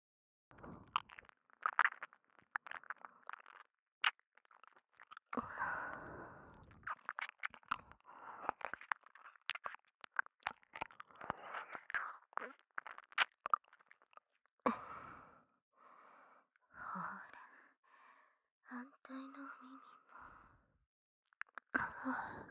ほらほら反対の耳もかわいい。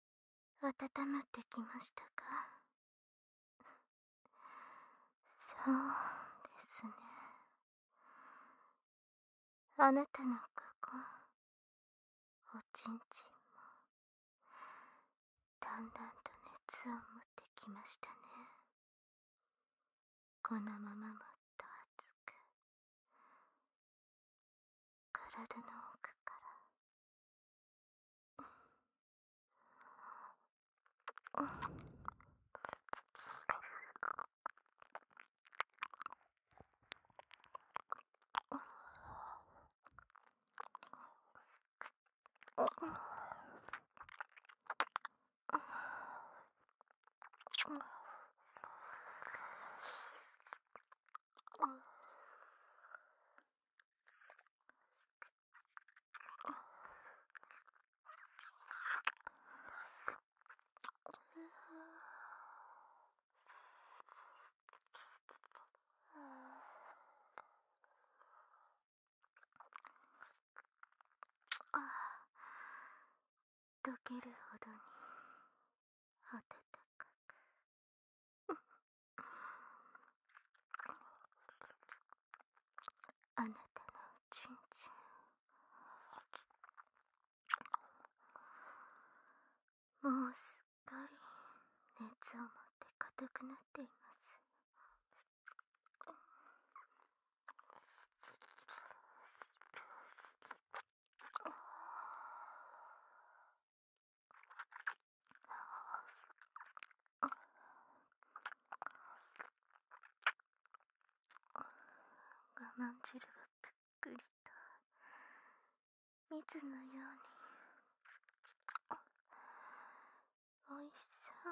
温まってきましたかそうですねあなたのここおちんちんもだんだんと熱を持ってきましたねこのままもっと熱く体の奥から溶けるほどに温かくあなたのおちんちんもうすっかり熱を持って硬くなっています我慢汁がぷっくりと蜜のようにおいしそう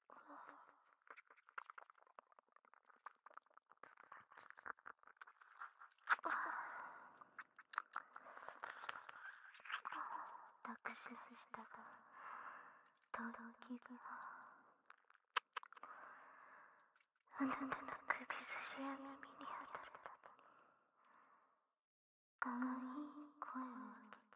握手したがとろきがあなたの首筋や耳に当たるかわいい声を上げた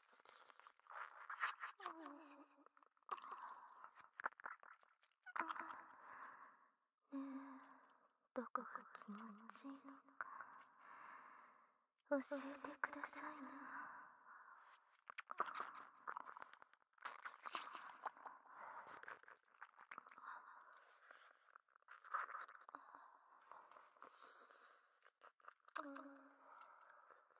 えどこが気持ちいいのか教えてくださいな。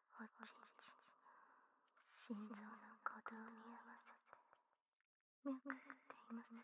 おちんち心臓の鼓動に見合わせて脈打っていますね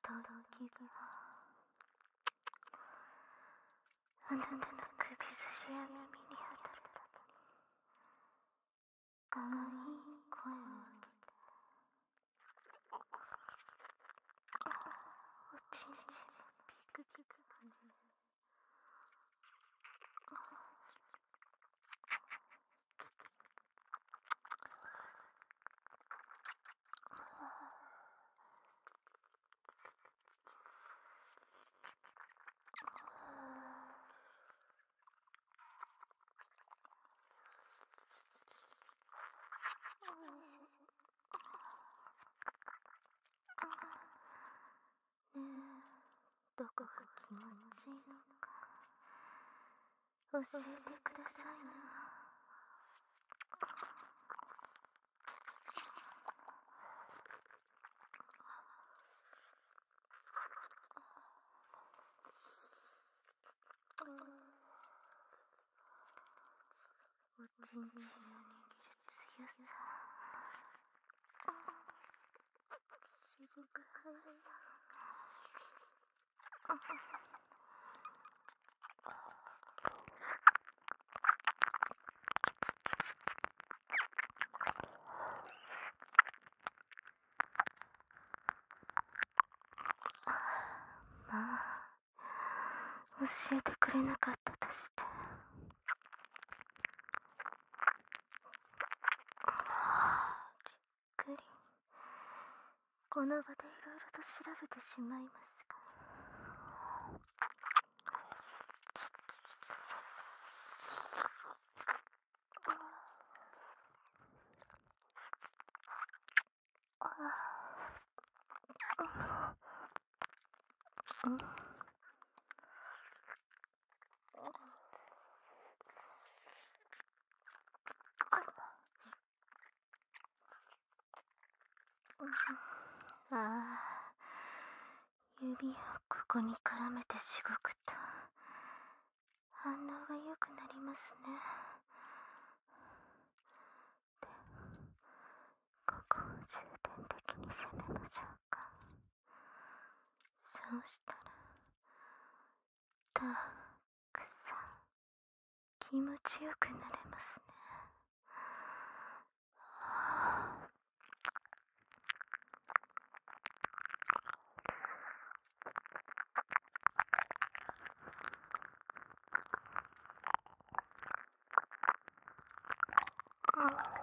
とろきがあなたの首筋や耳に当たるかわいい声をおちんちんピクピク跳ねるどこが気持ちいいのか教えてくださいなおちんちんを握る強さすごく速さまあ教えてくれなかったとして。はびっくりこの場でいろいろと調べてしまいますが。ああ指をここに絡めてしごくと反応がよくなりますねでも、ここを重点的に攻めましょうかそうしたらた気持ちよくなれますね。は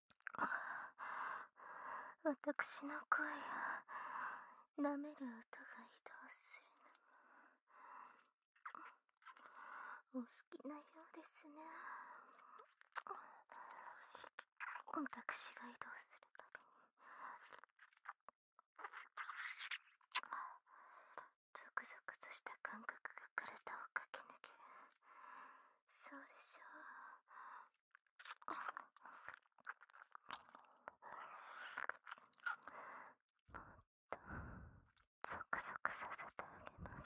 わたくしの声を舐める音が移動するのもお好きなようですねわたくしが移動するたびにゾクゾクとした感覚が体を駆け抜けるそうでしょうもゾクゾクさせてあげます。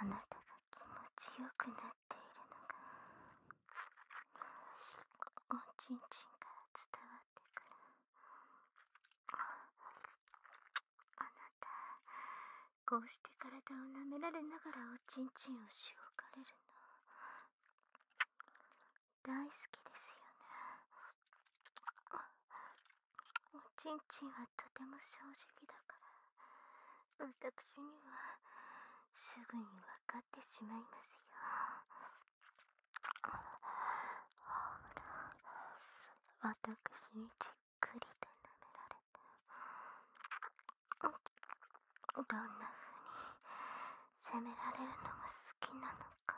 あなたが気持ちよくなっているのがおちんちんから伝わってくるあなたこうして体を舐められながらおちんちんをしごかれるの大好きですよねおちんちんはとても正直だから私にはすぐにわかってしまいますよほら私にじっくりと舐められてどんな風に責められるのが好きなのか。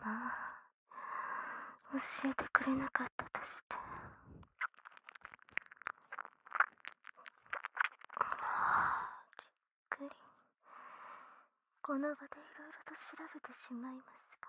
まあ教えてくれなかったとしてじっくりこの場でいろいろと調べてしまいますが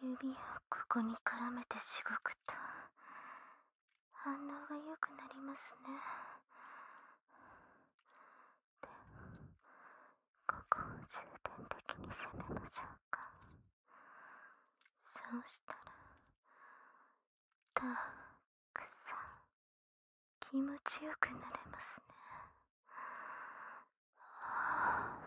指をここに絡めてしごくと反応がよくなりますねでも、ここを重点的に攻めましょうかそうしたらたくさん気持ちよくなれますねは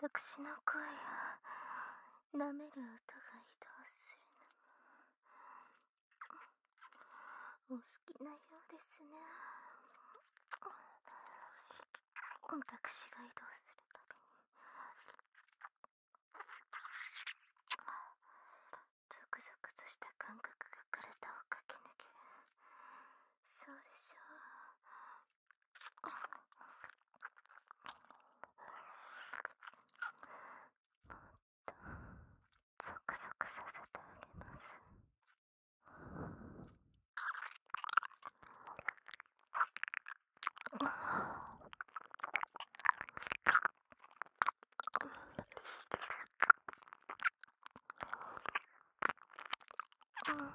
私の声を舐める音が移動するのお好きなようですね私が移動するたびにゾクゾクとした感覚が体を駆け抜けるそうでしょうもうゾクゾクさせてあげます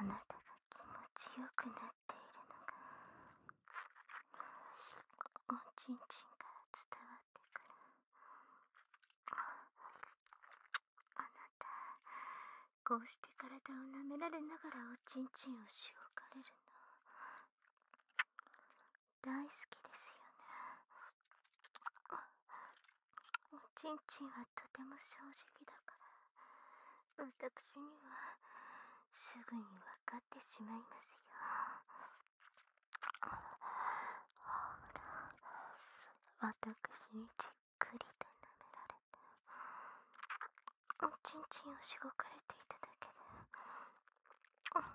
あなたが気持ちよくなっているのがおちんちんから伝わってくるあなたこうして体を舐められながらおちんちんをしごかれるの大好きですよねちんちんはとても正直だからわたくしにはすぐにわかってしまいますよほらしにじっくりと舐められてちんちんをしごかれていただけでだん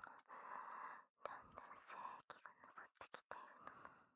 だん精液が上ってきているの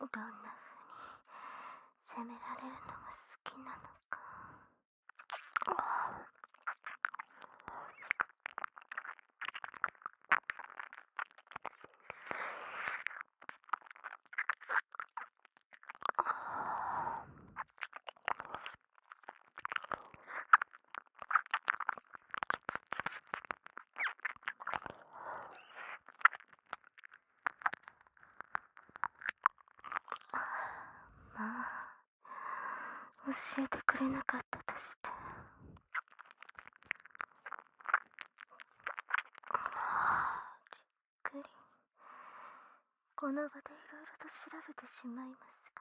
どんな風に責められるのが好きなのか。まあ教えてくれなかったとしてびっくりこの場でいろいろと調べてしまいますが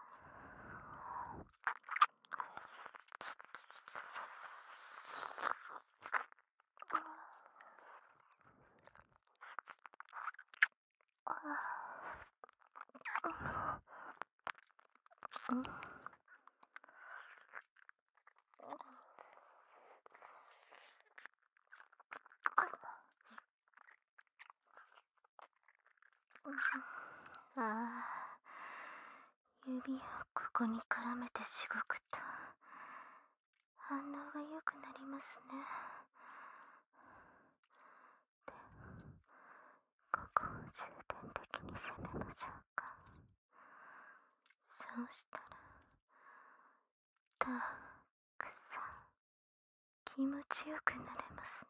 ああ指をここに絡めてしごくと反応がよくなりますねでも、ここを重点的に攻めましょうかそうしたらたくさん気持ちよくなれますね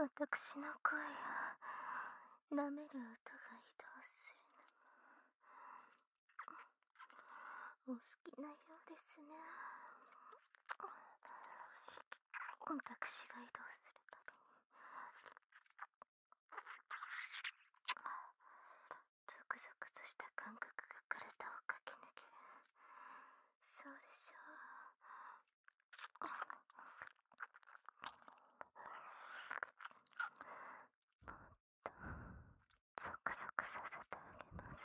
わたくしの声を舐める音が移動するのもお好きなようですね私が移動するたゾクゾクとした感覚が体を駆け抜けるそうでしょうもっとゾクゾクさせてあげ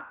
ます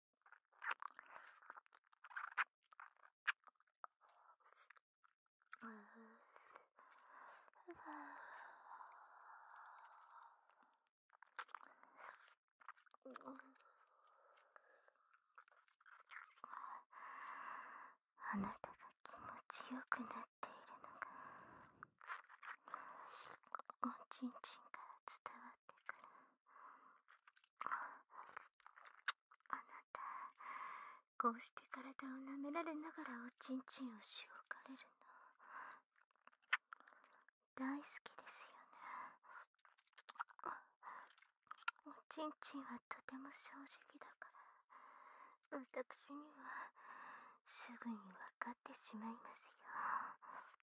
あなたが気持ちよくなっているのがおちんちんから伝わあなたこうして体を舐められながらおちんちんをしごかれるの大好きですよねおちんちんはとても正直だから私にはすぐにわかってしまいますよ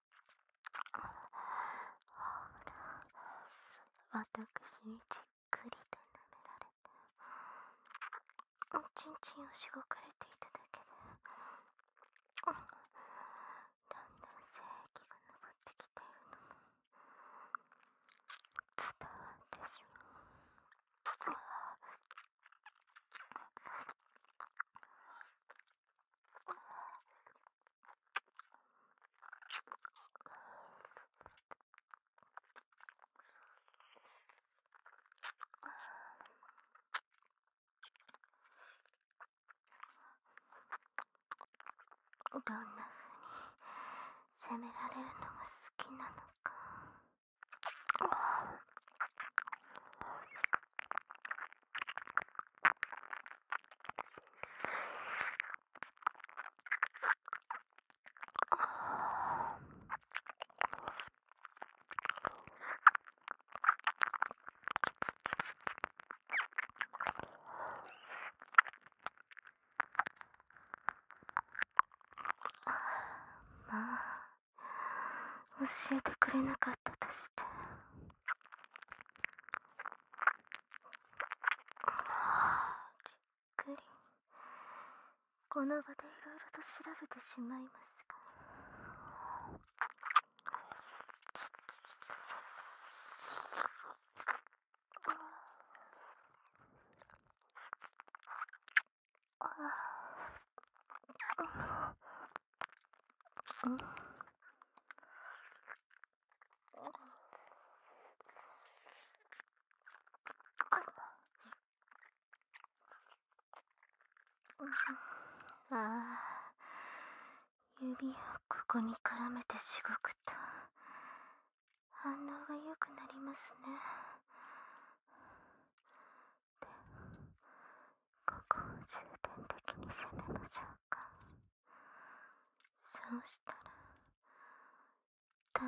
ほら私にじっくりと舐められておちんちんをしごかれていただけでだんだん精液が上ってきているのも伝わってしまう。どんな風に責められるのが好きなのか。まあ教えてくれなかったとしてはっくりこの場でいろいろと調べてしまいますがああ指をここに絡めてしごくと反応がよくなりますねでここを重点的に攻めましょうそうしたらた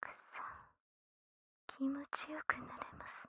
くさん気持ちよくなれますねん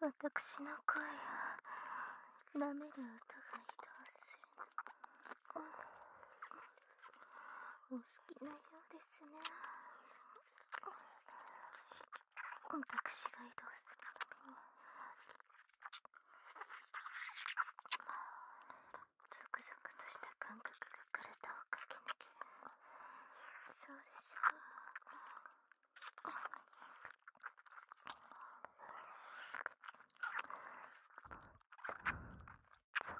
私の声を舐める音が移動するお好きなようですね私が移動するためにザクザクとした感覚が体を駆け抜けそうでしょうゾ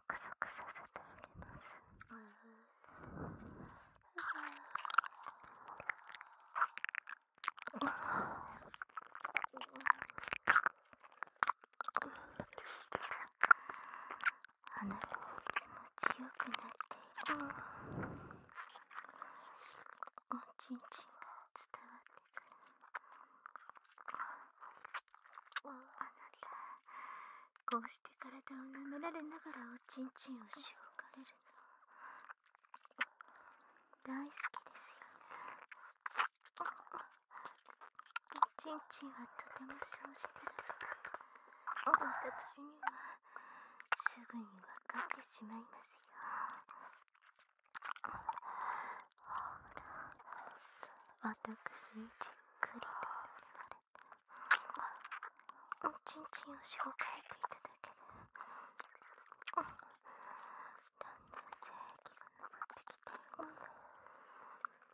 クゾクさせてあげますうんうんあなたも気持ちよくなっているおちんちんが伝わってくるあなたこうして体を舐められながらおちんちんをしおかれるの大好きですよねチンチンはとても正直で、私にはすぐに分かってしまいますよほら、私にじっくりとおちんちんをしごかれていただける…どんどん精液が上ってきて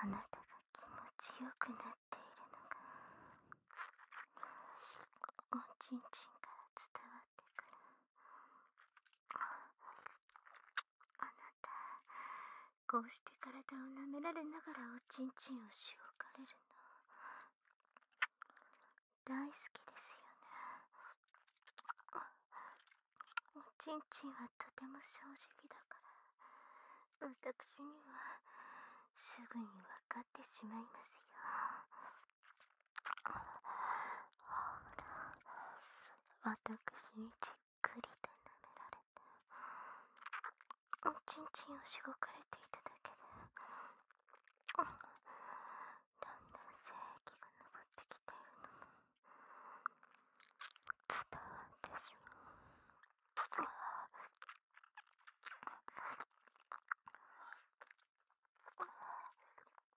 あなたが気持ちよくなっているのがおちんちんから伝わってくる。あなたこうして体を舐められながらおちんちんをしごかれるの大好きですよねおちんちんはとても正直だから私にはすぐにわかってしまいますよほら私にじっくりと舐められておちんちんをしごかれていただけでだんだん精液が上ってきているのも伝わってしまう。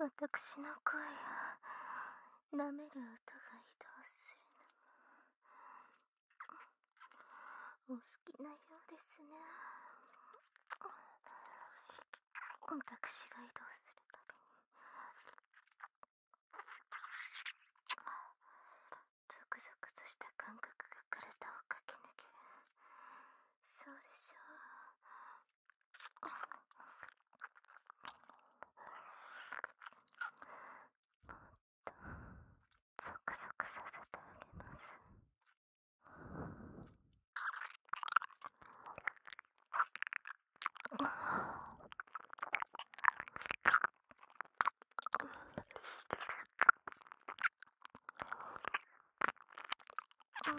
わたくしの声舐める音が移動するのもお好きなようですね私が移動するたにゾクゾクとした感覚が体を駆け抜けるそうでしょうもっと、ゾクゾクさせてあげます。ん、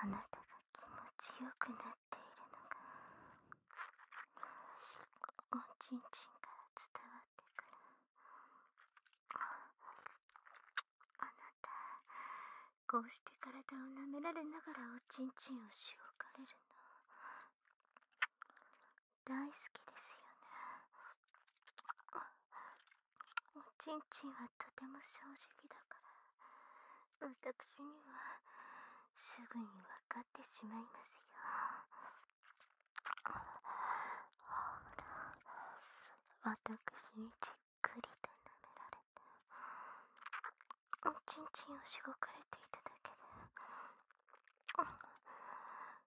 あなたが気持ちよくなっているのがおちんちんから伝わってくるあなたこうして体を舐められながらおちんちんをしおかれるの大好きですよねおちんちんはとても正直だから私にはすぐに分かってしまいますよほら私にじっくりと舐められておちんちんをしごかれていただけで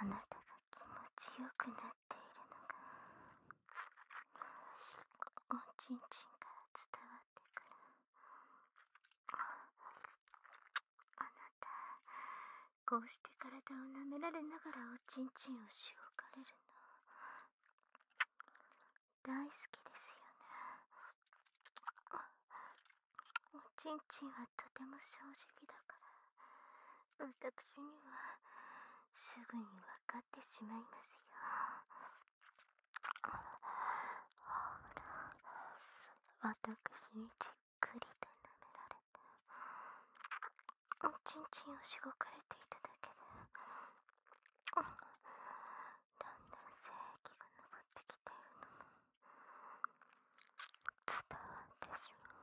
あなたが気持ちよくなっているのがおちんちんから伝わってくるあなたこうして体を舐められながらおちんちんをしおかれるの大好きですよねおちんちんはとても正直だからわたくしにはすぐにわかわってしまいますよ。ほら、私にじっくりと舐められて、おちんちんをしごかれていただけで、だんだん性器が上ってきているのも伝わってしまう。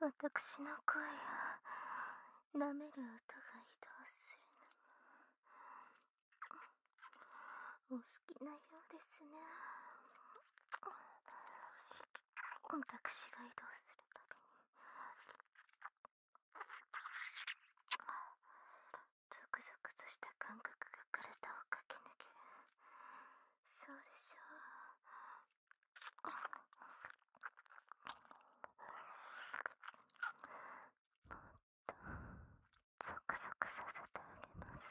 私の声を舐める音が移動するのお好きなようですね私が移動するたびにゾクゾクとした感覚が体を駆け抜けるそうでしょうもっとゾクゾクさせてあげます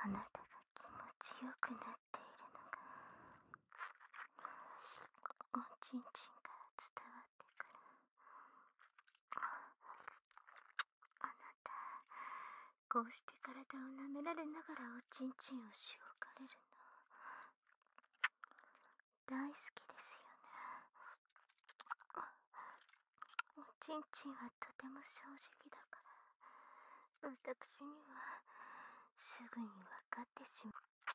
あなたが気持ちよくなっているのがおちんちんから伝わってくるあなたこうして体を舐められながらおちんちんをしおかれるの大好きですよねおちんちんはとても正直だから私にはすぐにわかってしまっう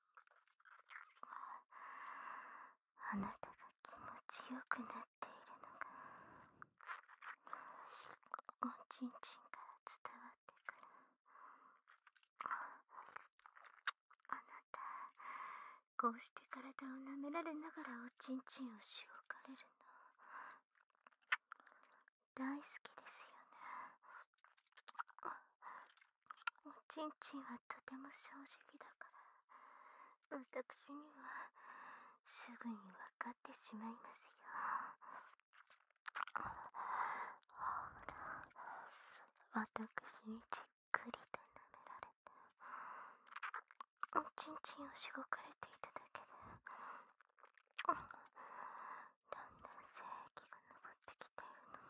あなたが気持ちよくなっているのがおちんちんから伝わってくるあなたこうして体を舐められながらおちんちんをしごかれるの大好きですよねちんちんはとても正直だからわたくしにはすぐにわかってしまいますよほらわたくしにじっくりと舐められてちんちんをしごかれていただけでだんだん精液が上ってきているの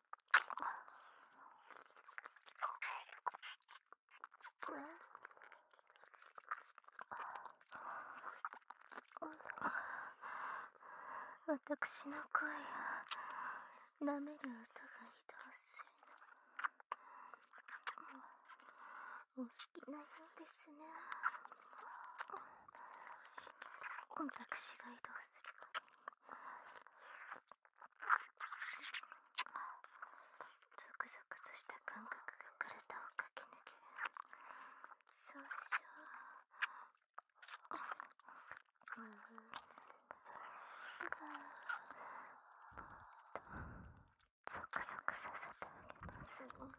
私の声を舐める音が移動するのお好きなようですね私が移動するゾクゾクとした感覚が体を駆け抜けるそうでしょう、うん、ゾクゾクさせてあげます、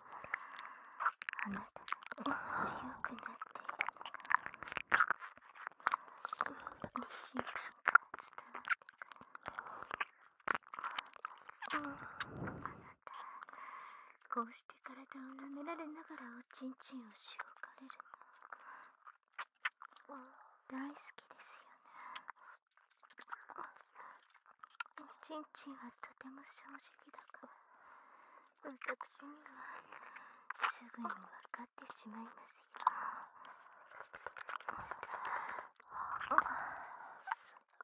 あな鼻がよくなっているかちんちが伝わってくるあなたこうして体を舐められながらおちんちんをしごかれるの大好きですよねおちんちんはとても正直だから。私にはすぐに分かってしまいますよ。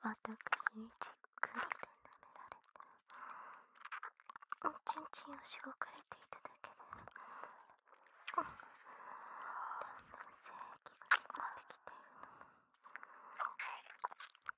私にじっくりと舐められて、おちんちんをしごかれていただけで、だんだん精液が溜まってきてる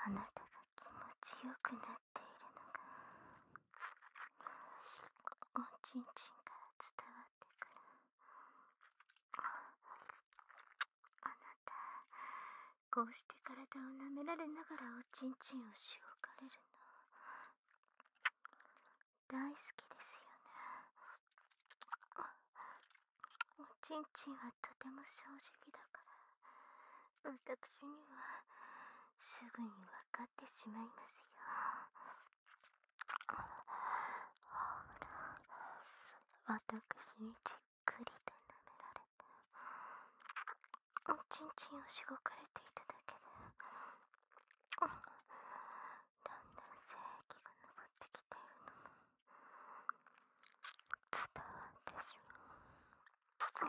あなたが気持ちよくなっているのがおちんちんから伝わあなたこうして体を舐められながらおちんちんをしおかれるの大好きですよねおちんちんはとても正直だから私にはすぐにわかってしまいますよ私にじっくりと舐められておちんちんをしごかれていただけでだんだん精液が上ってきているのも伝わってしまう。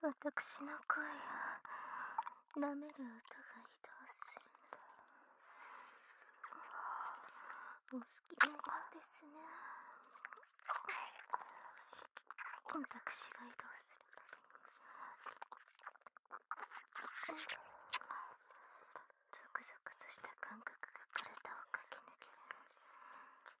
私の声を舐める音が移動するお好きなようですね私が移動するゾクゾクとした感覚が体を駆け抜けるそうでしょう。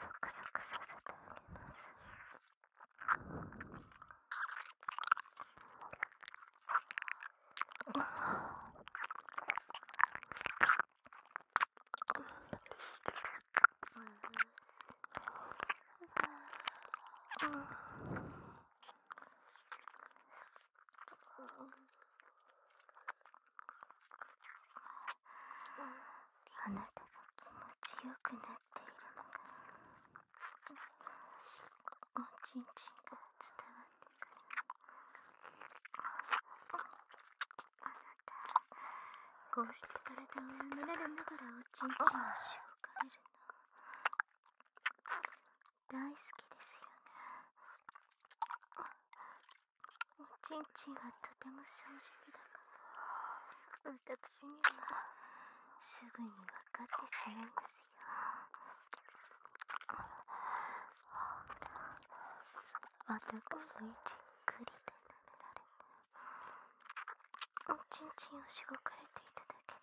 ゾクゾクさせてあます。うん。あなたが気持ちよくなっているのがおちんちんが伝わってくるあなたこうして体を舐められながらおちんちんをしょかれるの大好きですよねおちんちんがとても正直だから私にはすぐに分かってしまいますよは私もじっくりとおちんちんをしごかれていただけで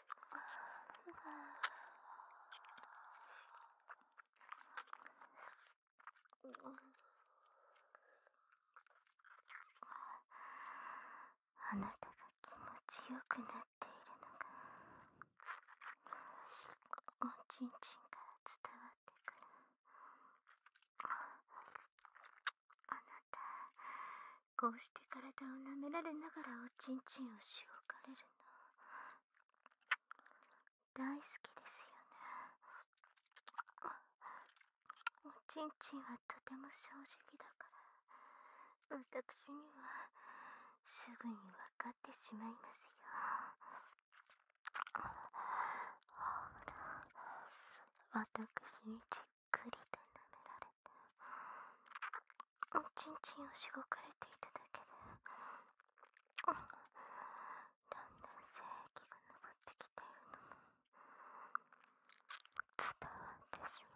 あなたが気持ちよくなっているのがおちんちんから伝わってくるあなたこうして体を舐められながらおちんちんをしおかれる大好きですよねおちんちんはとても正直だから私にはすぐに分かってしまいますよほら私にじっくりと舐められておちんちんをしごかれていただけでだんだん精液が上ってきているのも伝わってしま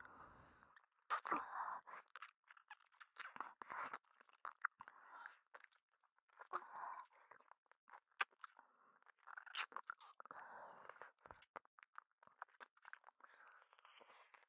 う。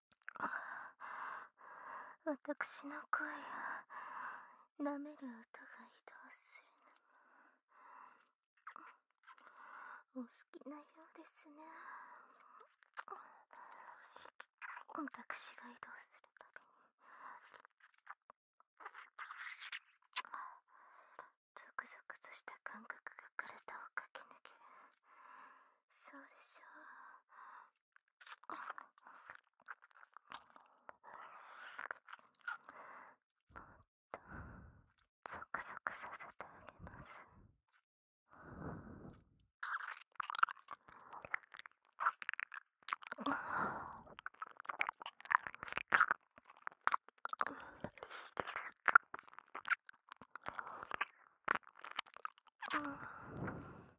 わたくしの声を舐める音が移動するのお好きなようですねわたくしが移動するたびにゾクゾクとした感覚が体を駆け抜けるそうでしょうゾクゾクさせてあげます。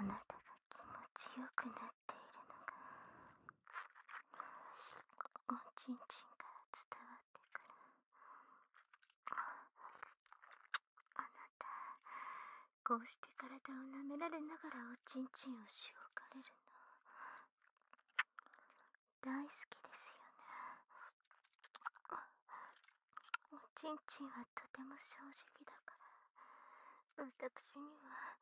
あなたが気持ちよくなっているのがおちんちんから伝わってくるあなたこうして体を舐められながらおちんちんをしごかれるの大好きですよねおちんちんはとても正直だから私には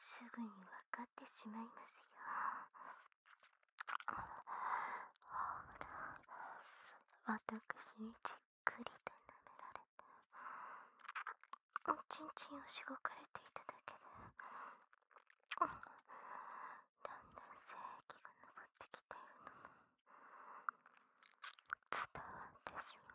すぐに分かってしまいますよほら私にじっくりと舐められておちんちんをしごかれていただけで、だんだん精液が上ってきているのも伝わってしまう。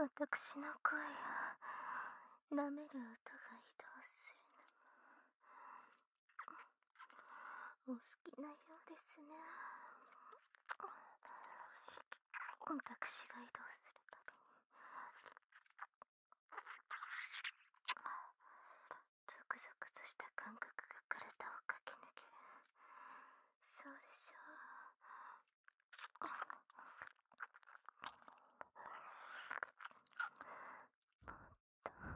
わたくしの声を舐める音が移動するのお好きなようですね私が移動するたびにゾクゾクとした感覚が体を駆け抜けるそうでしょう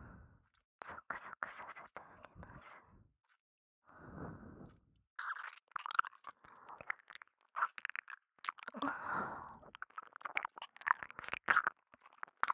もっとゾクゾクさせてあげます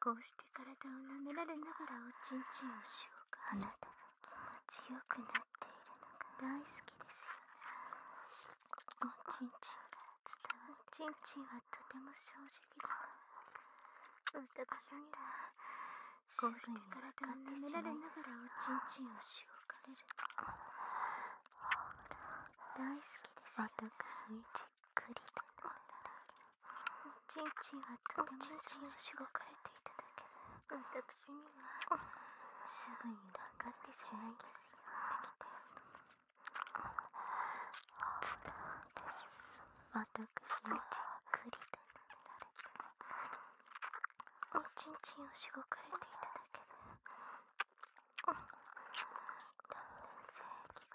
こうして体を舐められながらおちんちんをしようかあなたが気持くなっているのが大好きですよねおちんちんから伝わるおちんちんはとても正直だ私にはこうし体を舐められながらおちんちんをしようかれる大好きですよ私一くりと飲んだらおちんちんがとてもしごかれていただけ私にはすぐに分かってしまいますよ私はくりとおちんちんをしごかれていただけ男性器